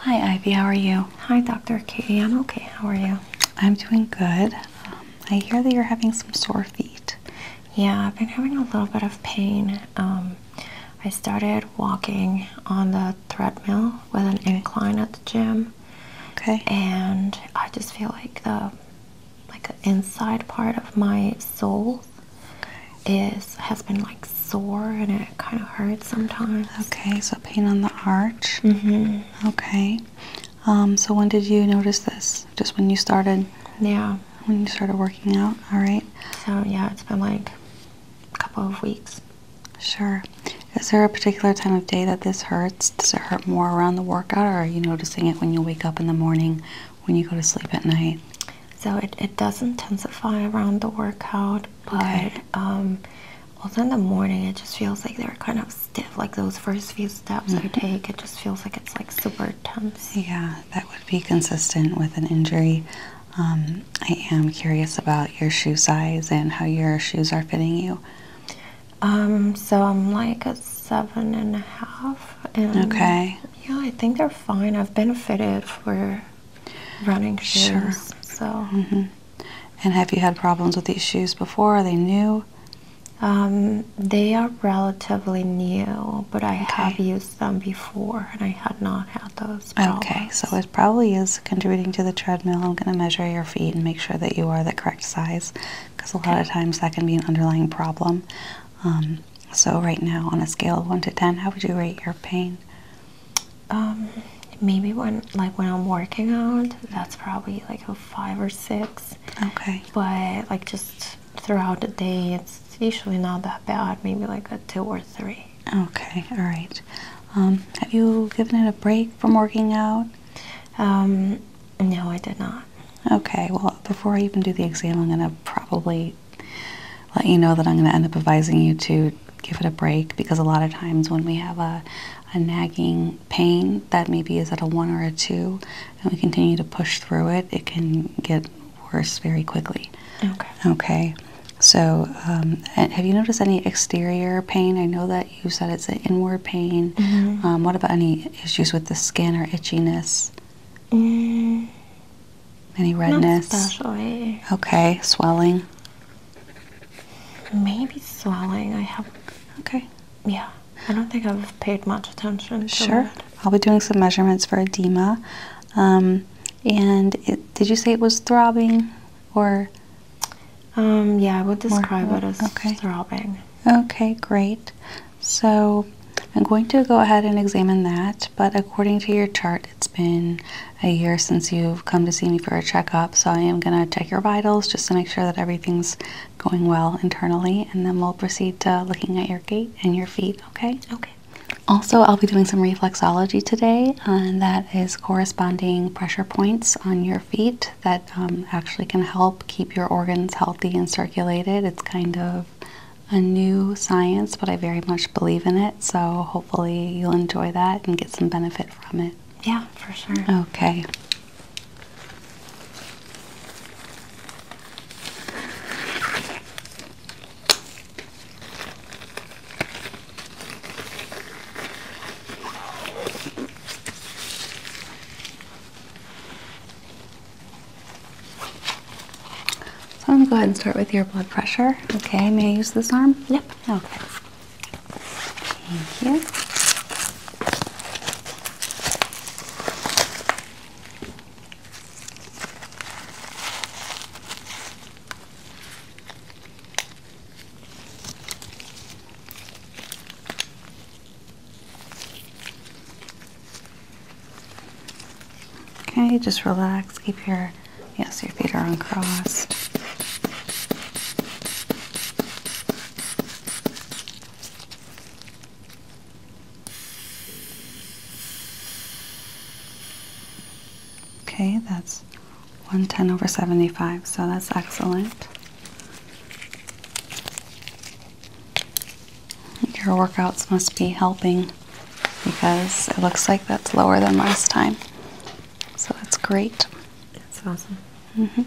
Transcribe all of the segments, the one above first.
Hi, Ivy. How are you? Hi, Dr. Katie. I'm okay. How are you? I'm doing good. I hear that you're having some sore feet. Yeah, I've been having a little bit of pain. Um, I started walking on the treadmill with an incline at the gym. Okay. And I just feel like the like the inside part of my sole is has been like sore and it kind of hurts sometimes. Okay, so pain on the arch. hmm Okay. Um, so when did you notice this? Just when you started? Yeah. When you started working out? All right. So yeah, it's been like a couple of weeks. Sure. Is there a particular time of day that this hurts? Does it hurt more around the workout, or are you noticing it when you wake up in the morning, when you go to sleep at night? So it, it does intensify around the workout, but um, also in the morning it just feels like they're kind of stiff like those first few steps you mm-hmm. take it just feels like it's like super tense yeah that would be consistent with an injury um, i am curious about your shoe size and how your shoes are fitting you um so i'm like a seven and a half and okay yeah i think they're fine i've been fitted for running shoes so mm-hmm. And have you had problems with these shoes before? Are they new? Um, they are relatively new, but I have used them before and I had not had those. Problems. Okay, so it probably is contributing to the treadmill. I'm going to measure your feet and make sure that you are the correct size because a lot of times that can be an underlying problem. Um, so, right now, on a scale of 1 to 10, how would you rate your pain? Um, maybe when like when I'm working out, that's probably like a five or six. Okay. But like just throughout the day, it's usually not that bad. Maybe like a two or three. Okay. All right. Um, have you given it a break from working out? Um, no, I did not. Okay. Well, before I even do the exam, I'm gonna probably let you know that I'm gonna end up advising you to give it a break because a lot of times when we have a, nagging pain that maybe is at a one or a two and we continue to push through it, it can get worse very quickly. Okay. Okay. So, um, have you noticed any exterior pain? I know that you said it's an inward pain. Mm-hmm. Um, what about any issues with the skin or itchiness? Mm. Any redness? Not especially. Eh. Okay, swelling. Maybe swelling. I have. Okay. Yeah. I don't think I've paid much attention. Sure. That. I'll be doing some measurements for edema. Um, and did you say it was throbbing, or? Um, yeah, I would describe or, it as okay. throbbing. Okay, great. So I'm going to go ahead and examine that, but according to your chart. It's been a year since you've come to see me for a checkup, so I am going to check your vitals just to make sure that everything's going well internally, and then we'll proceed to looking at your feet and your feet, okay? Okay. Also, I'll be doing some reflexology today, and that is corresponding pressure points on your feet that um, actually can help keep your organs healthy and circulated. It's kind of a new science, but I very much believe in it, so hopefully you'll enjoy that and get some benefit from it. Yeah, for sure. Okay. So I'm going to go ahead and start with your blood pressure. Okay, may I use this arm? Yep. Okay. Thank Okay, just relax. Keep your Yes, your feet are uncrossed. Okay, that's 110 over 75, so that's excellent. Your workouts must be helping because it looks like that's lower than last time. So that's great. That's awesome. Mm-hmm.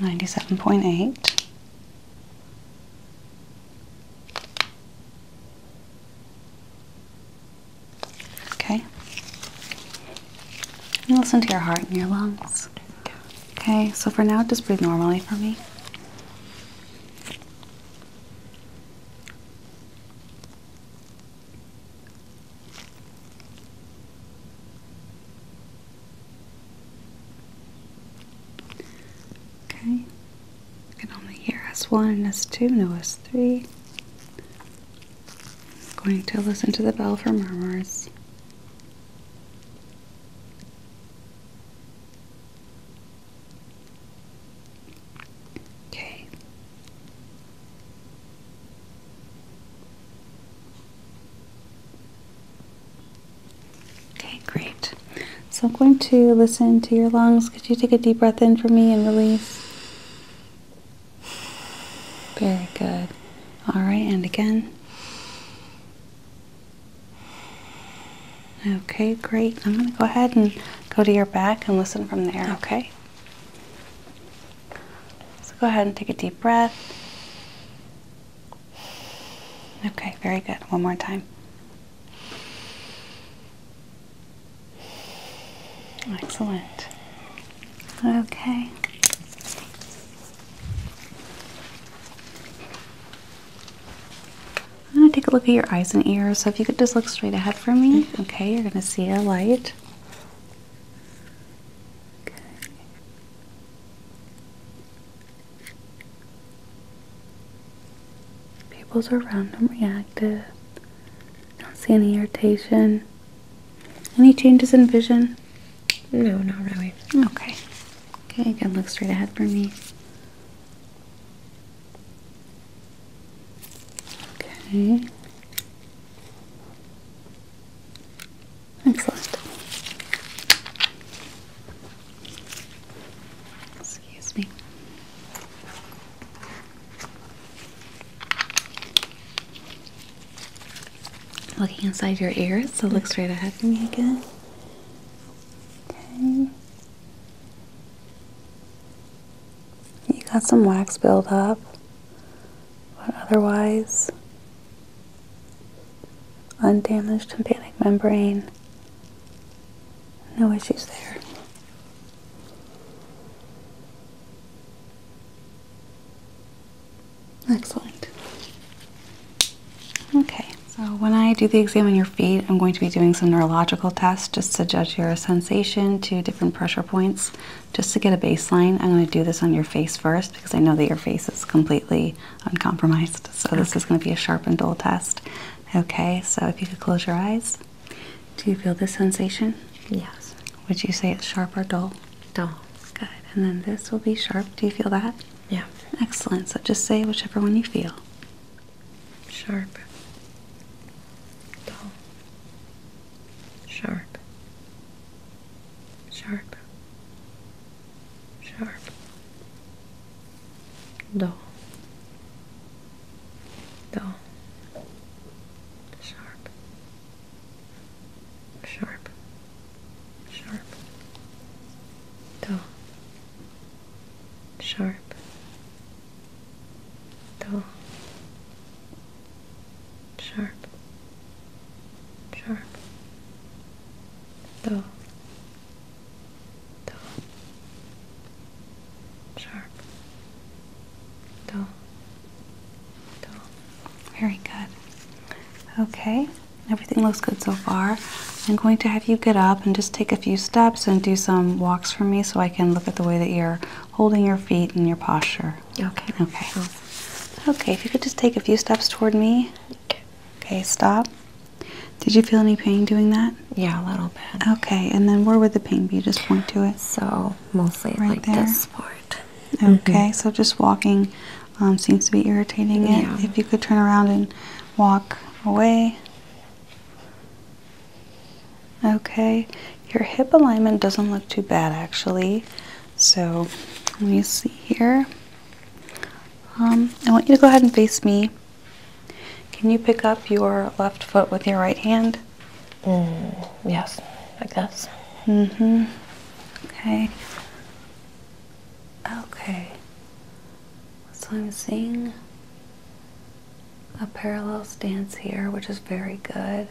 Ninety-seven point eight. Okay. listen to your heart and your lungs. Okay, so for now, just breathe normally for me. Okay, you can only hear S1 and 2 no S3. I'm going to listen to the bell for murmurs. Okay. Okay, great. So I'm going to listen to your lungs. Could you take a deep breath in for me and release? Very good. All right, and again. Okay, great. I'm going to go ahead and go to your back and listen from there, okay? So go ahead and take a deep breath. Okay, very good. One more time. Excellent. Okay. I'm going to take a look at your eyes and ears. So, if you could just look straight ahead for me. Mm-hmm. Okay, you're going to see a light. Okay. Pupils are round and reactive. Don't see any irritation. Any changes in vision? No, not really. Okay. Okay, you can look straight ahead for me. Okay. Excellent. Excuse me. Looking inside your ears, so look straight ahead for me again. Okay. You got some wax buildup, but otherwise, undamaged tympanic membrane. No issues there. Excellent. Okay, so when I do the exam on your feet, I'm going to be doing some neurological tests just to judge your sensation to different pressure points, just to get a baseline. I'm going to do this on your face first because I know that your face is completely uncompromised. So this is going to be a sharp and dull test. Okay, so if you could close your eyes. Do you feel this sensation? Yes. Would you say it's sharp or dull? Dull. Good. And then this will be sharp. Do you feel that? Yeah. Excellent. So just say whichever one you feel. Sharp. Dull. Sharp. Sharp. Sharp. Dull. Dull. Sharp. Sharp. Sharp. Dull. Sharp. Dull. Sharp. Sharp. Dull. Dull. Sharp. Dull. Very good. Okay, everything looks good so far. I'm going to have you get up and just take a few steps and do some walks for me so I can look at the way that you're holding your feet and your posture. Okay. Okay. Okay, if you could just take a few steps toward me. Okay. Okay, stop. Did you feel any pain doing that? Yeah, a little bit. Okay, and then where would the pain be? Just point to it. So, mostly right there. this part. Okay, so just walking um, seems to be irritating it. If you could turn around and walk away. Okay, your hip alignment doesn't look too bad actually. So let me see here. Um, I want you to go ahead and face me. Can you pick up your left foot with your right hand? Mm, yes, like this. Mm-hmm. Okay. Okay, so I'm seeing a parallel stance here, which is very good.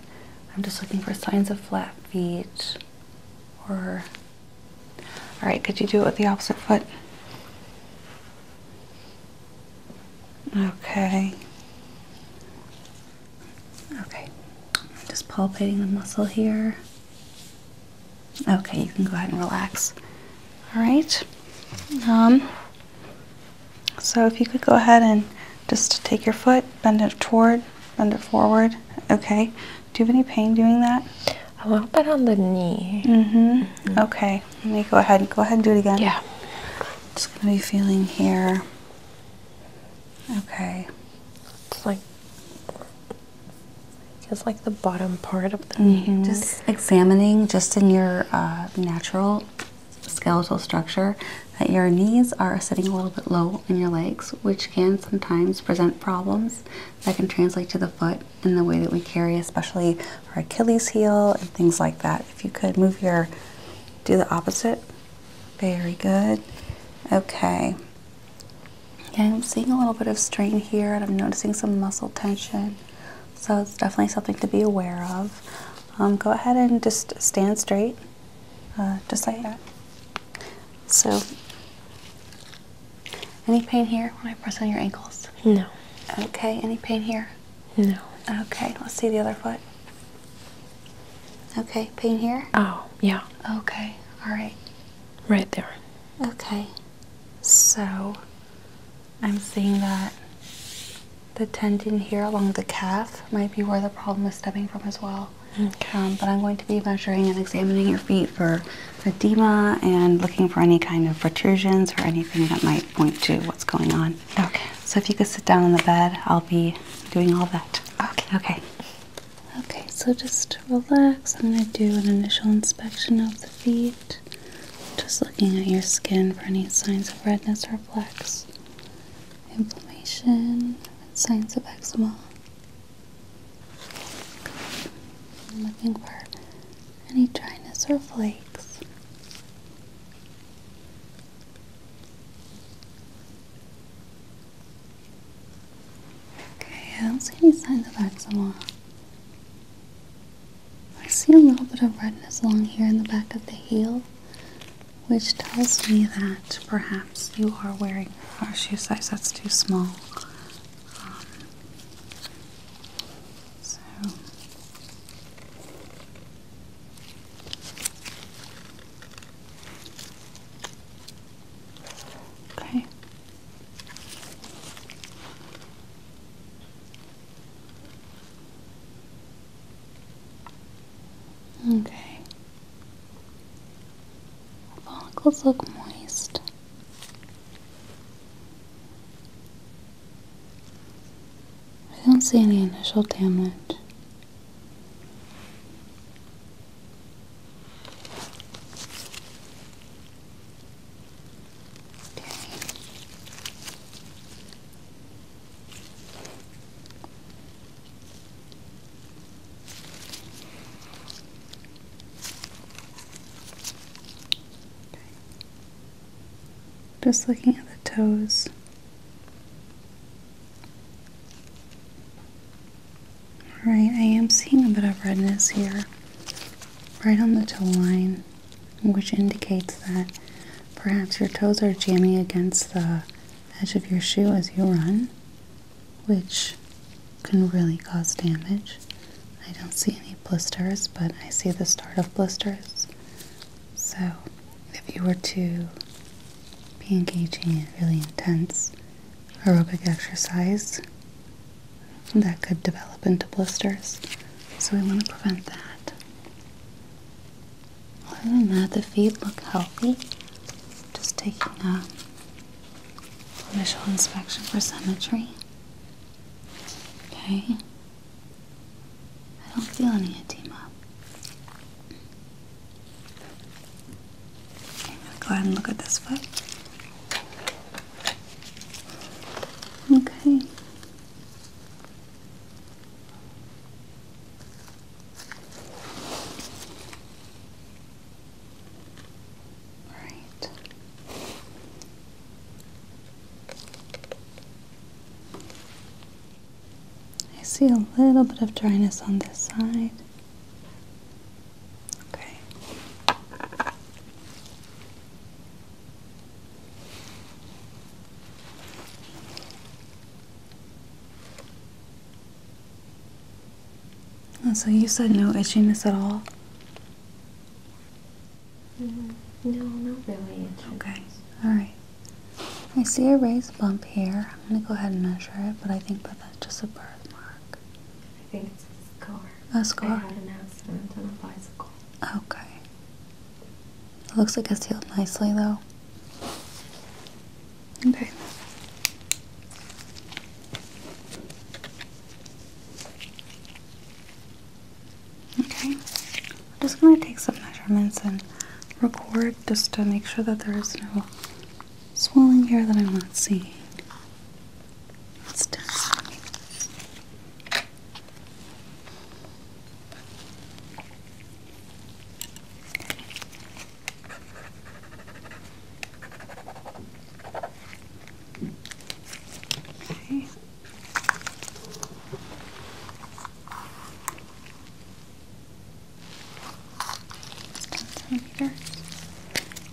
I'm just looking for signs of flat feet or. Alright, could you do it with the opposite foot? Okay. Okay, just palpating the muscle here. Okay, you can go ahead and relax. All right. Um, so if you could go ahead and just take your foot, bend it toward, bend it forward. Okay. Do you have any pain doing that? A little bit on the knee. -hmm. Okay. Let me go ahead. Go ahead and do it again. Yeah. Just gonna be feeling here. Okay. It's like just like the bottom part of the mm Just examining just in your uh, natural skeletal structure that your knees are sitting a little bit low in your legs, which can sometimes present problems that can translate to the foot in the way that we carry, especially our Achilles heel and things like that. If you could move your do the opposite. Very good. Okay. Yeah, I'm seeing a little bit of strain here, and I'm noticing some muscle tension. So it's definitely something to be aware of. Um, go ahead and just stand straight, uh, just like that. So, any pain here when I press on your ankles? No. Okay. Any pain here? No. Okay. Let's see the other foot. Okay. Pain here? Oh, yeah. Okay. All right right there. Okay, so I'm seeing that the tendon here along the calf might be where the problem is stemming from as well. Okay. Um, but I'm going to be measuring and examining your feet for edema and looking for any kind of protrusions or anything that might point to what's going on. Okay. So if you could sit down on the bed, I'll be doing all that. Okay. Okay. Okay, so just relax. I'm going to do an initial inspection of the feet. Just looking at your skin for any signs of redness or flex, inflammation, signs of eczema. looking for any dryness or flakes. Okay, I don't see any signs of eczema. I see a little bit of redness along here in the back of the heel, which tells me that perhaps you are wearing a shoe size that's too small. Um, so. Okay. Okay. Follicles look moist. I don't see any initial damage. Just looking at the toes. Right, I am seeing a bit of redness here, right on the toe line, which indicates that perhaps your toes are jamming against the edge of your shoe as you run, which can really cause damage. I don't see any blisters, but I see the start of blisters. So, if you were to be engaging in really intense aerobic exercise that could develop into blisters. So we want to prevent that. Other than that, the feet look healthy. Just taking a initial inspection for symmetry. Okay. I don't feel any edema. Go ahead and look at this foot. Okay. All right. I see a little bit of dryness on this side. Okay. Oh, so you said no itchiness at all? Mm-hmm. no, not really. Itchiness. Okay, all right. I see a raised bump here. I'm going to go ahead and measure it, but I think that's just a birthmark. I think it's a scar. A scar? I had an accident on a bicycle. Okay. It looks like it's healed nicely though. Okay. Okay. I'm just going to take some measurements and record just to make sure that there is no swelling here that I'm not seeing. It's done. Okay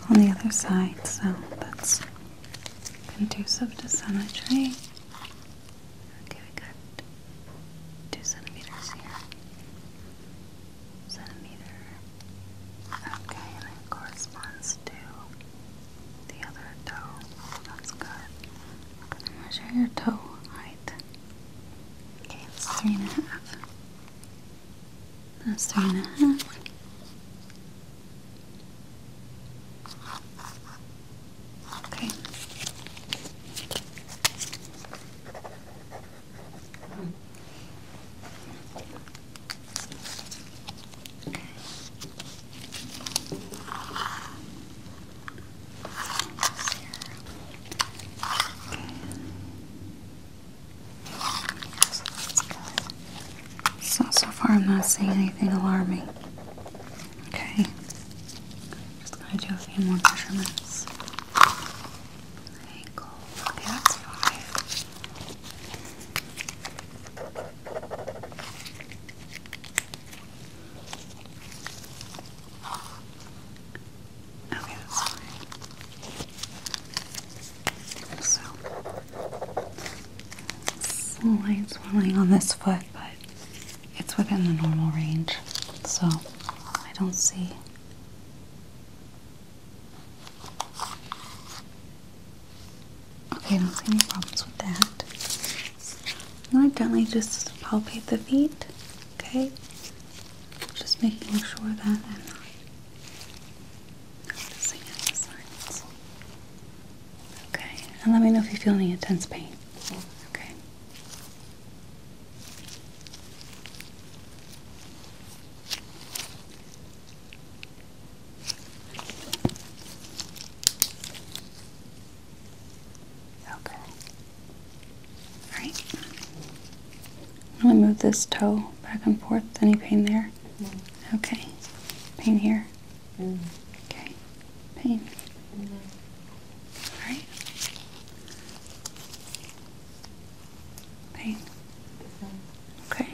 on the other side, so that's conducive to symmetry. Okay, we got two centimeters here. Centimeter. Okay, and corresponds to the other toe. That's good. measure your toe height. Okay, it's three and a half. That's three and a half. Okay. So, so far I'm not seeing anything alarming. Okay. Just gonna do a few more measurements. Okay, that's five. Okay, that's fine. So, slight swelling on this foot, but it's within the normal range. So, I don't see. Okay, I don't see any problems with that. I'm going to gently just palpate the feet, okay? Just making sure that Okay, and let me know if you feel any intense pain. Okay. Okay. All right. Let me move this toe back and forth. Any pain there? Mm-hmm. Okay. Pain here? Mm-hmm. Okay. Pain? No. Mm-hmm. Pain? Okay. Okay.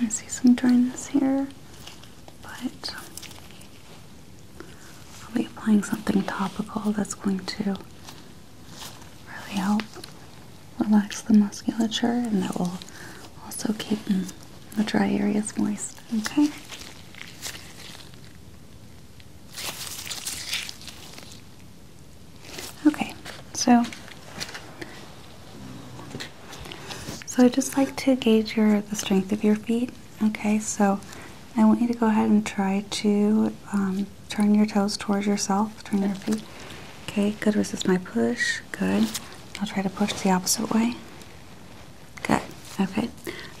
I see some dryness here but I'll be applying something topical that's going to really help relax the musculature and that will also keep the dry areas moist. Okay. Okay, so so I just like to gauge your the strength of your feet Okay, so I want you to go ahead and try to um, turn your toes towards yourself, turn your feet. Okay, good. Resist my push. Good. I'll try to push the opposite way. Good. Okay.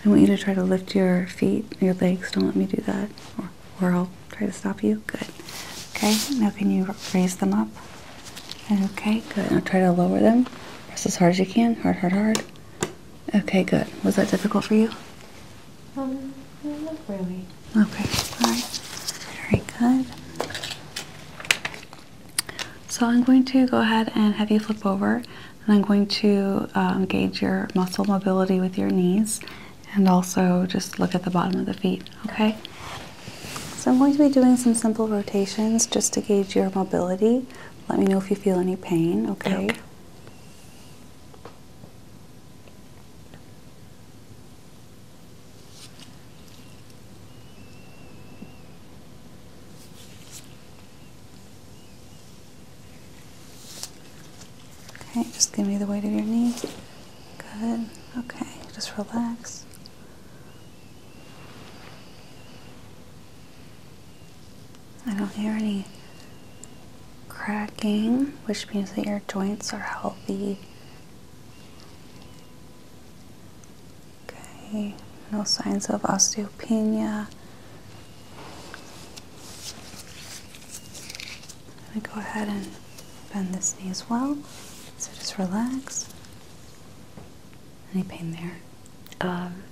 I want you to try to lift your feet, your legs. Don't let me do that, or I'll try to stop you. Good. Okay. Now can you raise them up? Okay. Good. Now try to lower them. Press as hard as you can. Hard, hard, hard. Okay, good. Was that difficult for you? Um, not really. Okay, all right. Very good. So I'm going to go ahead and have you flip over, and I'm going to um, uh, gauge your muscle mobility with your knees, and also just look at the bottom of the feet. Okay. So I'm going to be doing some simple rotations just to gauge your mobility. Let me know if you feel any pain, okay? okay. just give me the weight of your knee. Good. Okay, just relax. I don't hear any cracking, which means that your joints are healthy. Okay, no signs of osteopenia. I'm go ahead and bend this knee as well. So just relax. Any pain there? Um,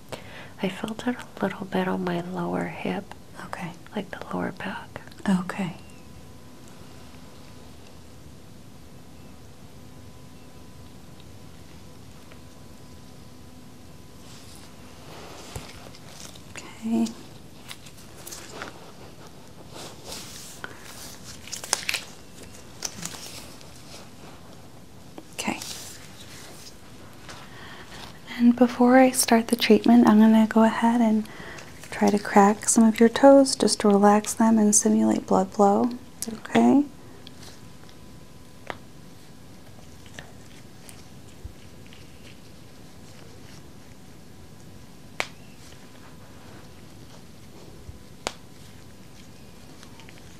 I felt it a little bit on my lower hip. Okay. Like the lower back. Okay. Okay. Okay. And before I start the treatment, I'm going to go ahead and try to crack some of your toes just to relax them and simulate blood flow. Okay.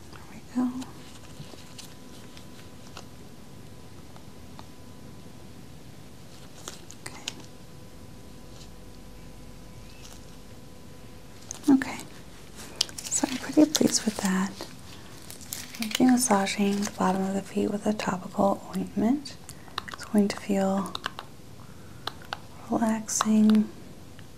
There we go. Okay. Okay. So I'm pretty pleased with that. I'll massaging the bottom of the feet with a topical ointment. It's going to feel relaxing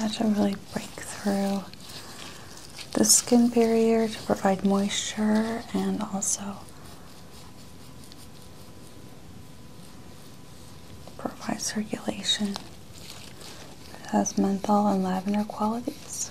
That should really break through the skin barrier to provide moisture and also provide circulation. It has menthol and lavender qualities.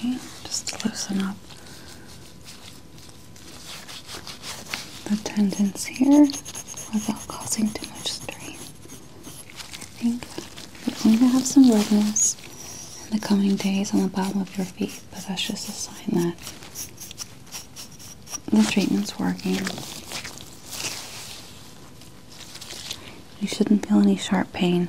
Okay, just to loosen up the tendons here without causing too much strain. I think you're going to have some redness in the coming days on the bottom of your feet, but that's just a sign that the treatment's working. You shouldn't feel any sharp pain.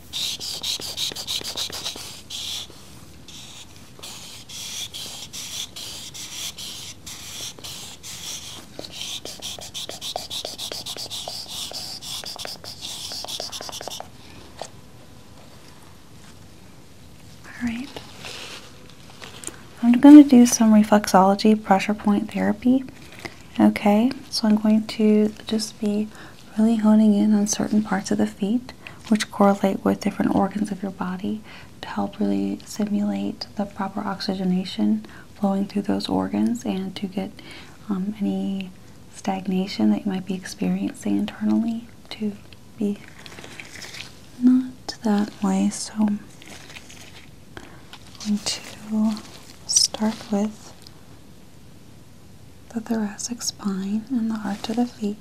All right. I'm going to do some reflexology pressure point therapy. Okay, so I'm going to just be really honing in on certain parts of the feet which correlate with different organs of your body to help really simulate the proper oxygenation flowing through those organs and to get um, any stagnation that you might be experiencing internally to be not that way. So I'm going to start with the thoracic spine, and the heart to the feet.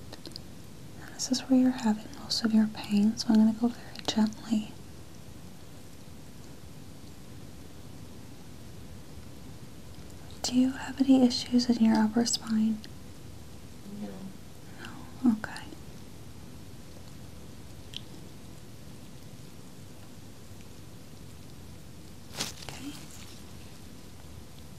And this is where you're having most of your pain, so I'm going to go very gently. Do you have any issues in your upper spine? No. No? Okay. Okay.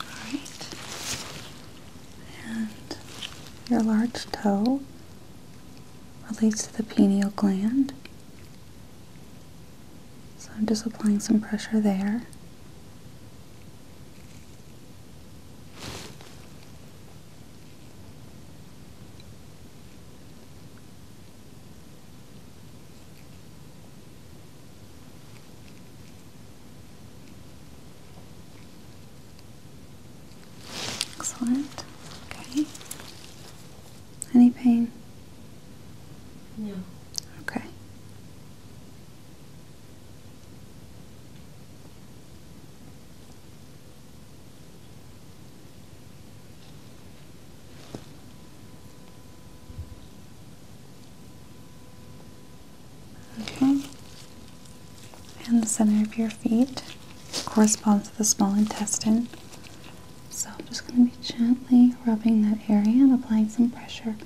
Alright. And your large toe relates to the pineal gland. So I'm just applying some pressure there. Excellent. Okay. Any pain? No. Okay. Okay. And the center of your feet corresponds to the small intestine. So I'm just going to be gently rubbing that area and applying some pressure.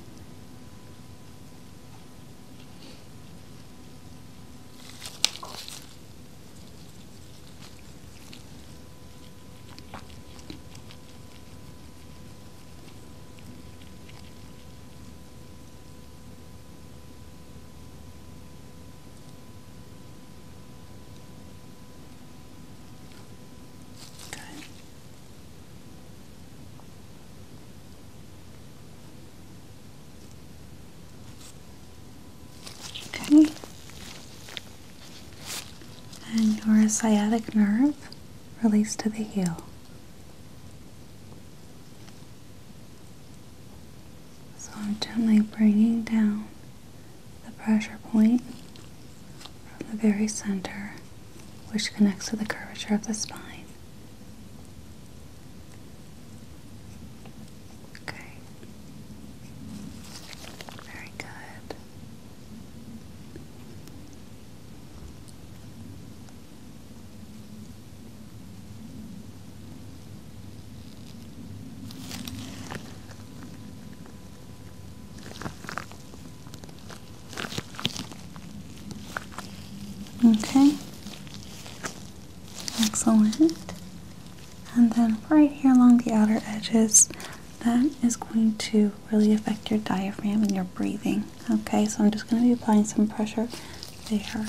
Okay. Okay. And your sciatic nerve released to the heel. So I'm gently bringing down the pressure point from the very center, which connects to the curvature of the spine. Okay. Very good. Okay. Excellent. And then right here along the outer edges, that is going to really affect your diaphragm and your breathing. Okay, so I'm just going to be applying some pressure there. Okay.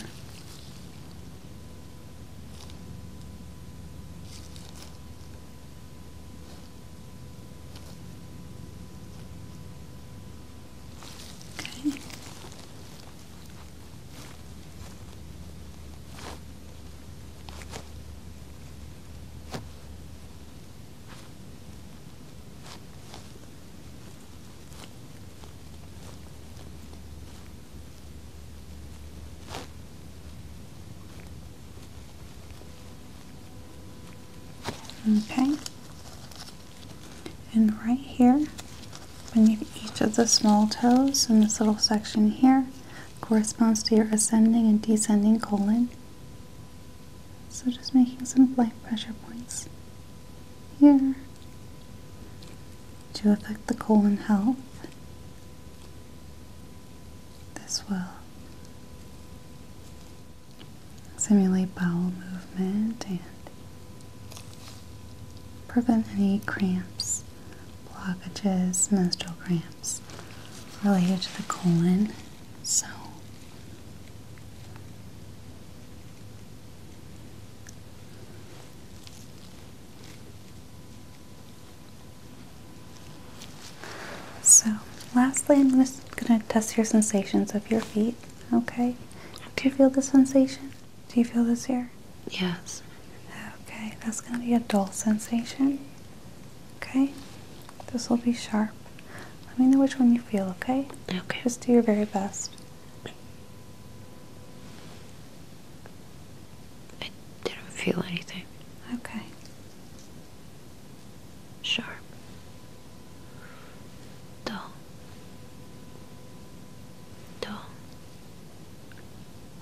Okay, and right here beneath each of the small toes in this little section here corresponds to your ascending and descending colon. So just making some light pressure points here to affect the colon health. This will simulate bowel movement and prevent any cramps, blockages, menstrual cramps related to the colon. So so, lastly, I'm just going to test your sensations of your feet. Okay. Do you feel the sensation? Do you feel this here? Yes. Okay, that's going to be a dull sensation. Okay, this will be sharp. Let me know which one you feel, okay? Okay. Just do your very best. I didn't feel anything. Okay. Sharp. Dull. Dull.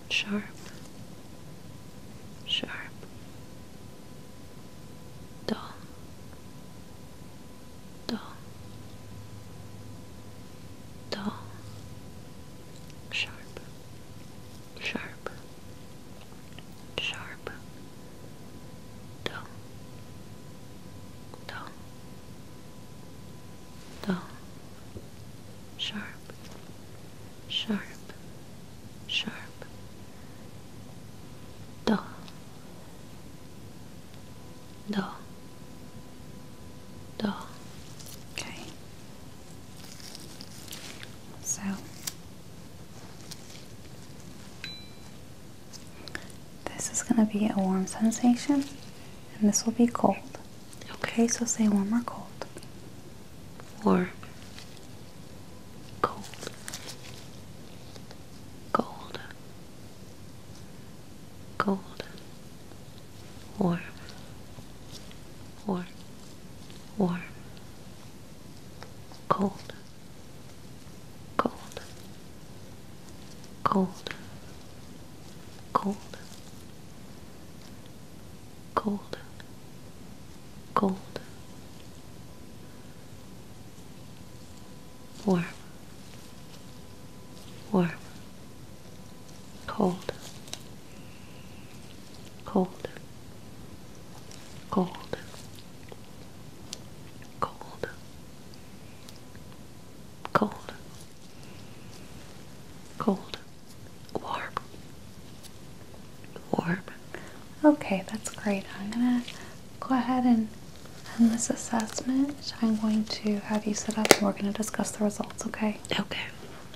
Sharp. Sharp. Dull do, do, sharp, sharp, sharp, do, do, do, sharp, sharp, sharp, do. Do. Do. Okay. So this is going to be a warm sensation and this will be cold. Okay, so say warm or cold. Warm. Cold. Cold cold, warm, warm, warm, cold, cold, cold, cold, cold, cold warm, warm, cold, cold, cold, cold, cold, cold, warm, warm. Okay, that's great. I'm gonna go ahead and end this assessment. I'm going to have you sit up and we're going to discuss the results, okay? Okay.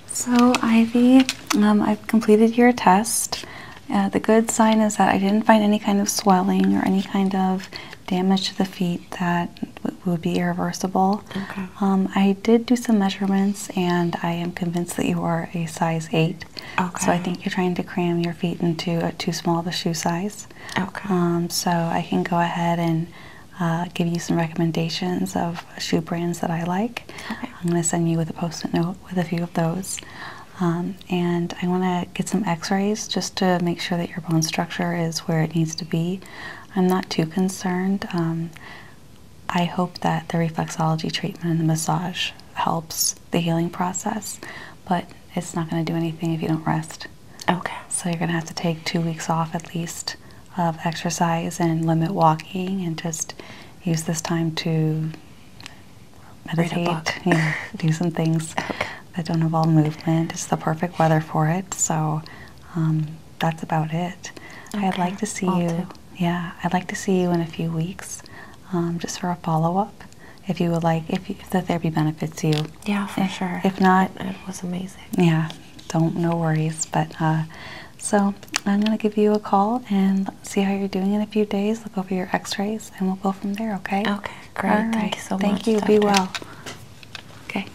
So, Ivy, um, I've completed your test. Uh, the good sign is that I didn't find any kind of swelling or any kind of damage to the feet that would be irreversible. Okay. Um, I did do some measurements and I am convinced that you are a size 8. Okay. So I think you're trying to cram your feet into a too small of a shoe size. Okay. Um, so I can go ahead and uh, give you some recommendations of shoe brands that I like. Okay. I'm going to send you with a post-it note with a few of those. Um, and I want to get some x-rays just to make sure that your bone structure is where it needs to be. I'm not too concerned. Um, I hope that the reflexology treatment and the massage helps the healing process, but it's not going to do anything if you don't rest. Okay. So you're going to have to take two weeks off at least of exercise and limit walking and just use this time to meditate, you do some things that don't involve movement. It's the perfect weather for it. So um, that's about it. Okay. I'd like to see you. Yeah, I'd like to see you in a few weeks, um, just for a follow up if you would like, if, the therapy benefits you. Yeah, for sure. If not, it, was amazing. Yeah, don't no worries. But uh, so I'm gonna give you a call and see how you're doing in a few days. Look over your X-rays, and we'll go from there. Okay. Okay. Great. All Thank you so much. Thank you. Be well. Okay.